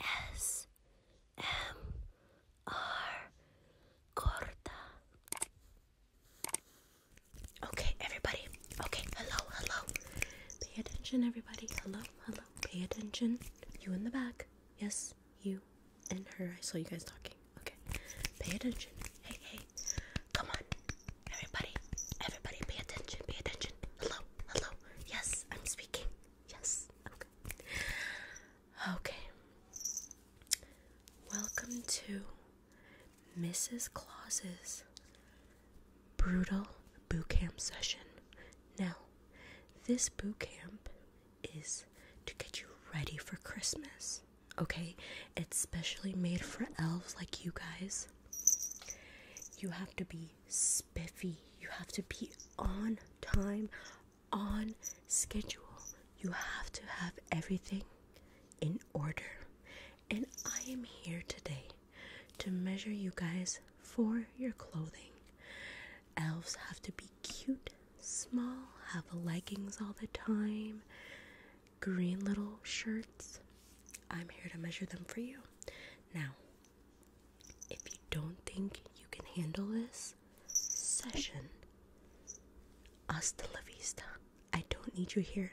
ASMR Okay, everybody. Okay, hello, hello. Pay attention, everybody. Hello, hello. Pay attention. You in the back. Yes, you and her. I saw you guys talking. Okay, pay attention. Hey, hey. Come on. Everybody, everybody, pay attention, pay attention hello, hello. Yes, I'm speaking. Yes, okay. Okay. Welcome to Mrs. Claus's brutal boot camp session. Now, this boot camp is to get you ready for Christmas. Okay, it's specially made for elves like you guys you have to be spiffy, you have to be on time, on schedule. You have to have everything in order. And I am here today to measure you guys for your clothing. Elves have to be cute, small, have leggings all the time, green little shirts, I'm here to measure them for you. Now, if you don't think you can handle this session, hasta la vista. I don't need you here.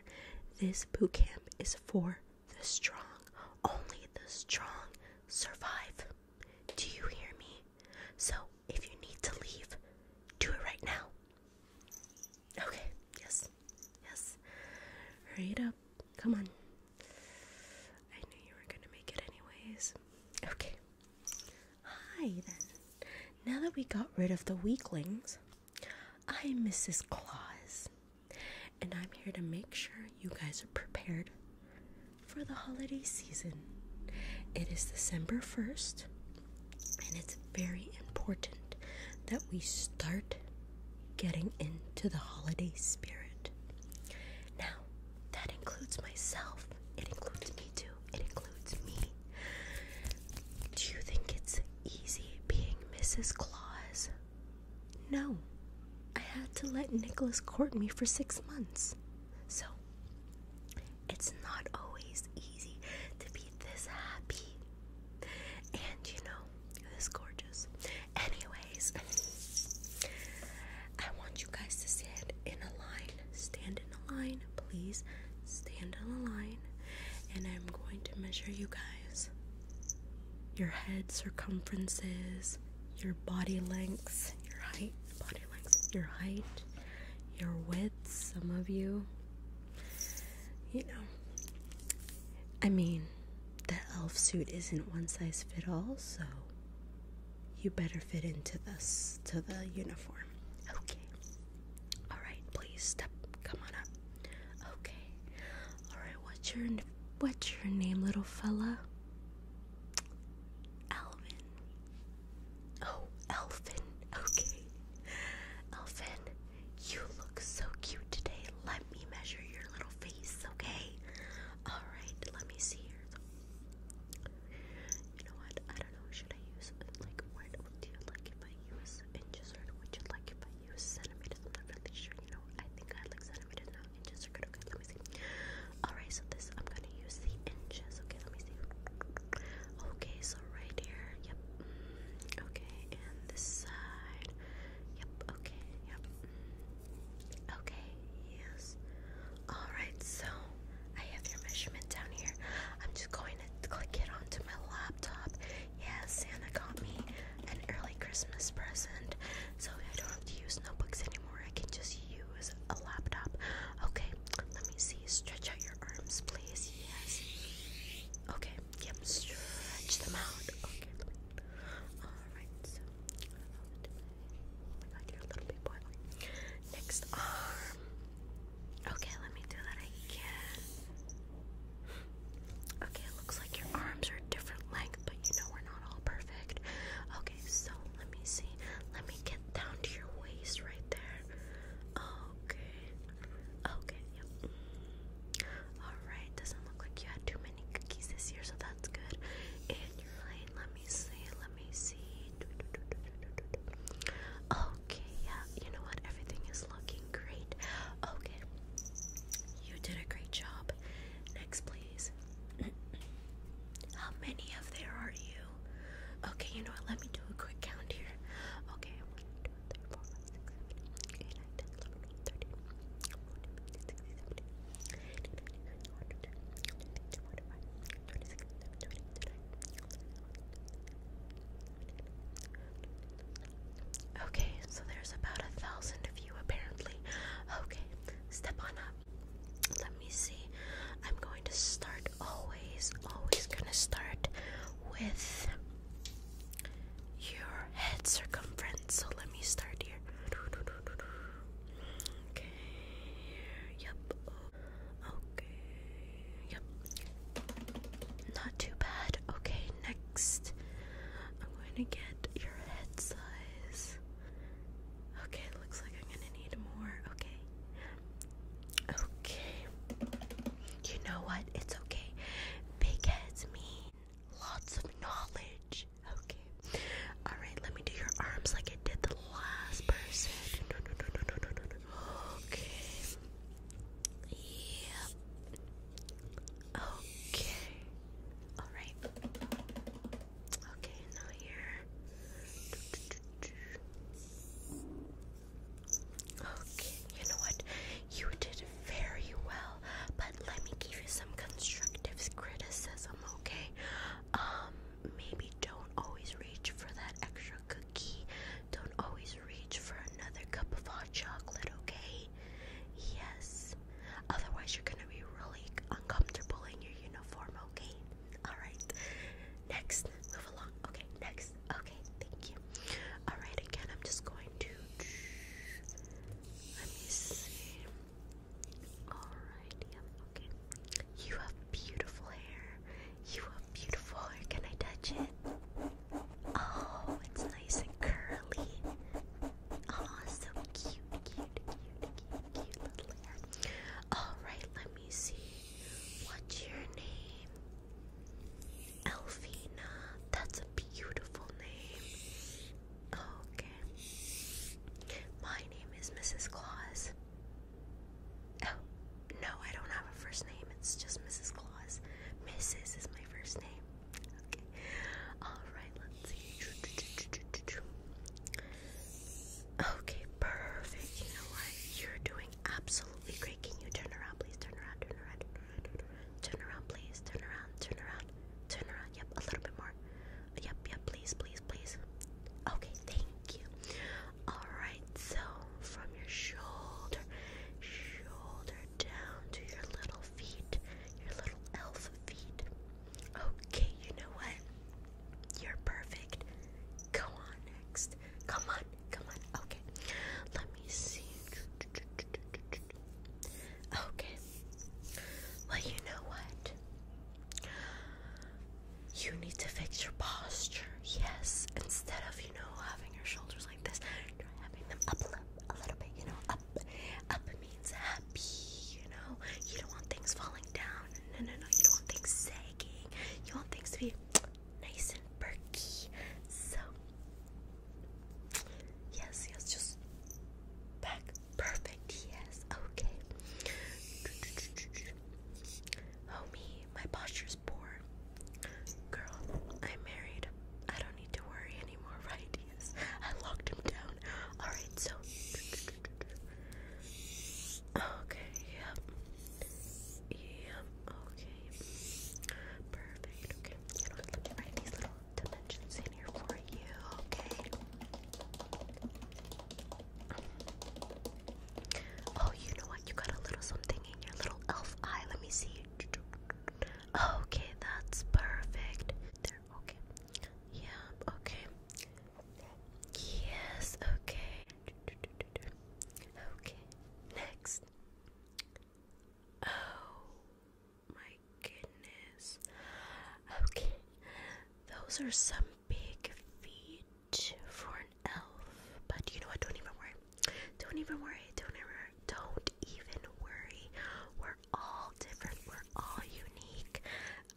This boot camp is for the strong. Only the strong survive. Do you hear me? So, if you need to leave, do it right now. Okay, yes, yes. Hurry up. Come on. I knew you were gonna make it anyways. Okay. Hi then. Now that we got rid of the weaklings, I'm Mrs. Claus, and I'm here to make sure you guys are prepared for the holiday season. It is December 1st, and it's very important that we start getting into the holiday spirit. Now, that includes myself. It includes me too. It includes me. Do you think it's easy being Mrs. Claus? No. I had to let Nicholas court me for six months. So, it's not always easy to be this happy. And you know, this gorgeous. Anyways, I want you guys to stand in a line. Stand in a line, please. Stand in a line. And I'm going to measure you guys your head circumferences, your body lengths, your height, body length, your height, your width, some of you. You know, I mean, the elf suit isn't one size fit all, so you better fit into this to the uniform. Okay. All right, please step. Come on up. Okay. All right. What's your what's your name, little fella? Alvin. Oh, Elfin. Okay. Elfin, you look so cute today. Let me measure your little face, okay? Alright, let me see here. You know what? I don't know. Should I use, like, what do you like if I use inches or would you like if I use centimeters? I'm not really sure. You know, I think I like centimeters, not inches. Are good. Okay, let me see. Alright, so this I'm gonna use the inches. Okay, let me see. Okay, so right here, yep. okay, and this side. Yep, okay, yep. okay, yes. Alright, so I have your measurement down here. I'm just going to click it onto my laptop. Yes, Santa got me an early Christmas present. So I don't have to use notebooks anymore. I can just use a laptop. Okay, let me see. Stretch out your arms, please. Yes. Okay, yep, stretch them out. Okay, Alright, so. Oh my god, you're a little big boy. Next arm. Okay, let me do that again. Okay, it looks like your arms are different length, but you know we're not all perfect. Okay so let me see. Let me get down to your waist right there. Okay. Okay, yep. Alright, doesn't look like you had too many cookies this year, so that's good. And let me see, let me see. Okay, yeah, you know what? Everything is looking great. Okay. You did a great job. Next, please. How many of there are you? Okay, you know what? Let me do a quick count here. Okay, I'm going to do it. 3, Okay, so there's about a thousand of you apparently. Okay, step on up let me see. I'm going to start always, always gonna start with your head circumference. So let me start here. Okay. Yep. Okay. Yep. Not too bad. Okay, next. I'm going to get your head size. Okay, looks like I'm gonna need more. Okay. Okay. You know what? It's okay. Big heads mean lots of knowledge. Okay. Alright, let me do your arms like I did the last person. Okay. Yep. Okay. Alright. Okay, now here. Okay, you know what? You did very well, but let me give you some constructive criticism, okay? Um, maybe don't always reach for that extra cookie. Don't always reach for another cup of hot chocolate, okay? Yes. Otherwise, you're gonna be really uncomfortable in your uniform, okay? Alright. Next, move along. Okay, next. Okay, thank you. Alright, again, I'm just going to. Let me see. Alright, okay. You have beautiful hair. You have beautiful hair. Can I touch it? Oh, it's nice and curly. Oh, so cute, cute, cute, cute, cute little hair. Alright, let me see. What's your name? Elfina. That's a beautiful name. Okay. My name is Mrs. Claus. Oh, no, I don't have a first name. It's just Mrs. Claus. Mrs. is my first name. Okay. Alright, let's see. Okay, perfect. You know what? You're doing absolutely great. Can you turn around, please? Turn around, turn around, turn around, turn around. Turn around, please. Turn around, turn around, turn around. Yep, a little bit more. Yep, yep, please, please, please. Okay, thank you. Alright, so from your shoulder, shoulder down to your little feet, your little elf feet. Okay, you know what? You're perfect. Go on next. Come on, come on. Okay, let me see. Okay, well, you know what? You need to fix your posture, yes, instead of, you know, having your shoulders like this, try having them up a little, bit, you know, up, up means happy, you know, you don't want things falling down, no, no, no, you don't want things sagging, you want things to be nice and perky, so, yes, yes, just back, perfect, yes, okay, oh me, my posture poor. Girl, I'm married. I don't need to worry anymore, right? I locked him down. Alright, so. Okay, yep. Yep, okay. Perfect, okay. You know, let me write these little dimensions in here for you, okay? Oh, you know what? You got a little something your little elf eye. Let me see. Okay, that's perfect. There, okay. Yeah, okay. Yes, okay. Okay, next. Oh my goodness. Okay, those are some big feet for an elf, but you know what? Don't even worry. Don't even worry. Don't ever. Don't even worry. We're all different. We're all unique.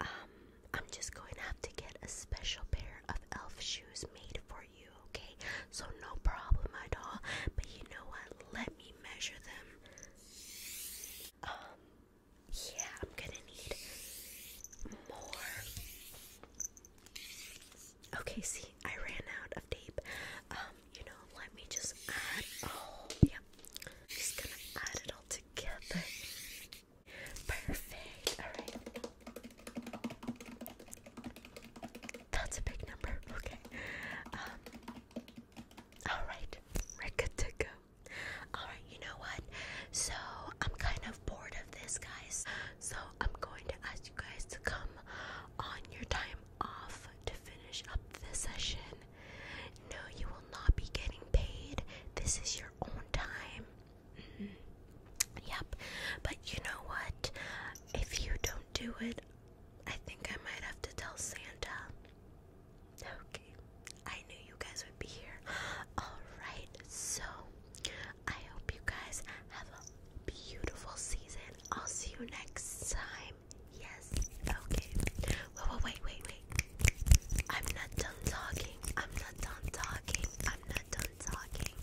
Um, I'm just going to have to get a special pair of elf shoes made for you. Okay? So no problem at all. But you know what? Let me measure them. Um, yeah, I'm gonna need more Okay, see, I ran out of tape. Um, you know, let me just Oh, yeah. just gonna add it all together. Perfect. Alright. That's a big number. Okay. Um, Alright. we to go. Alright, you know what? So, I'm kind of bored of this, guys. So I'm going to ask you guys to come on your time off to finish up the session. No, you will not be getting paid. This is your own time. Mm-hmm. Yep. But you know what? If you don't do it, I think I might have to tell Santa. Okay. I knew you guys would be here. Alright, so I hope you guys have a beautiful season. I'll see you next time. Yes, okay. Wait, wait, wait, wait. I'm not done talking. I'm not done talking. I'm not done talking.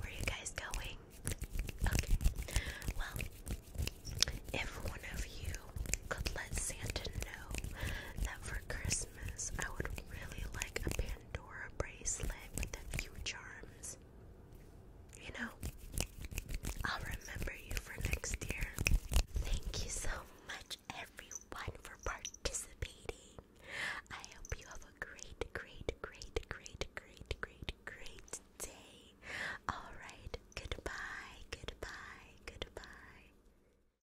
Where are you guys going? Okay. Well, if one of you could let Santa know that for Christmas, I would really like a Pandora bracelet with a few charms. You know, I'll remember you for next year. Thank you so much, everyone, for participating. I hope you have a great, great, great, great, great, great, great day. Alright, goodbye, goodbye, goodbye.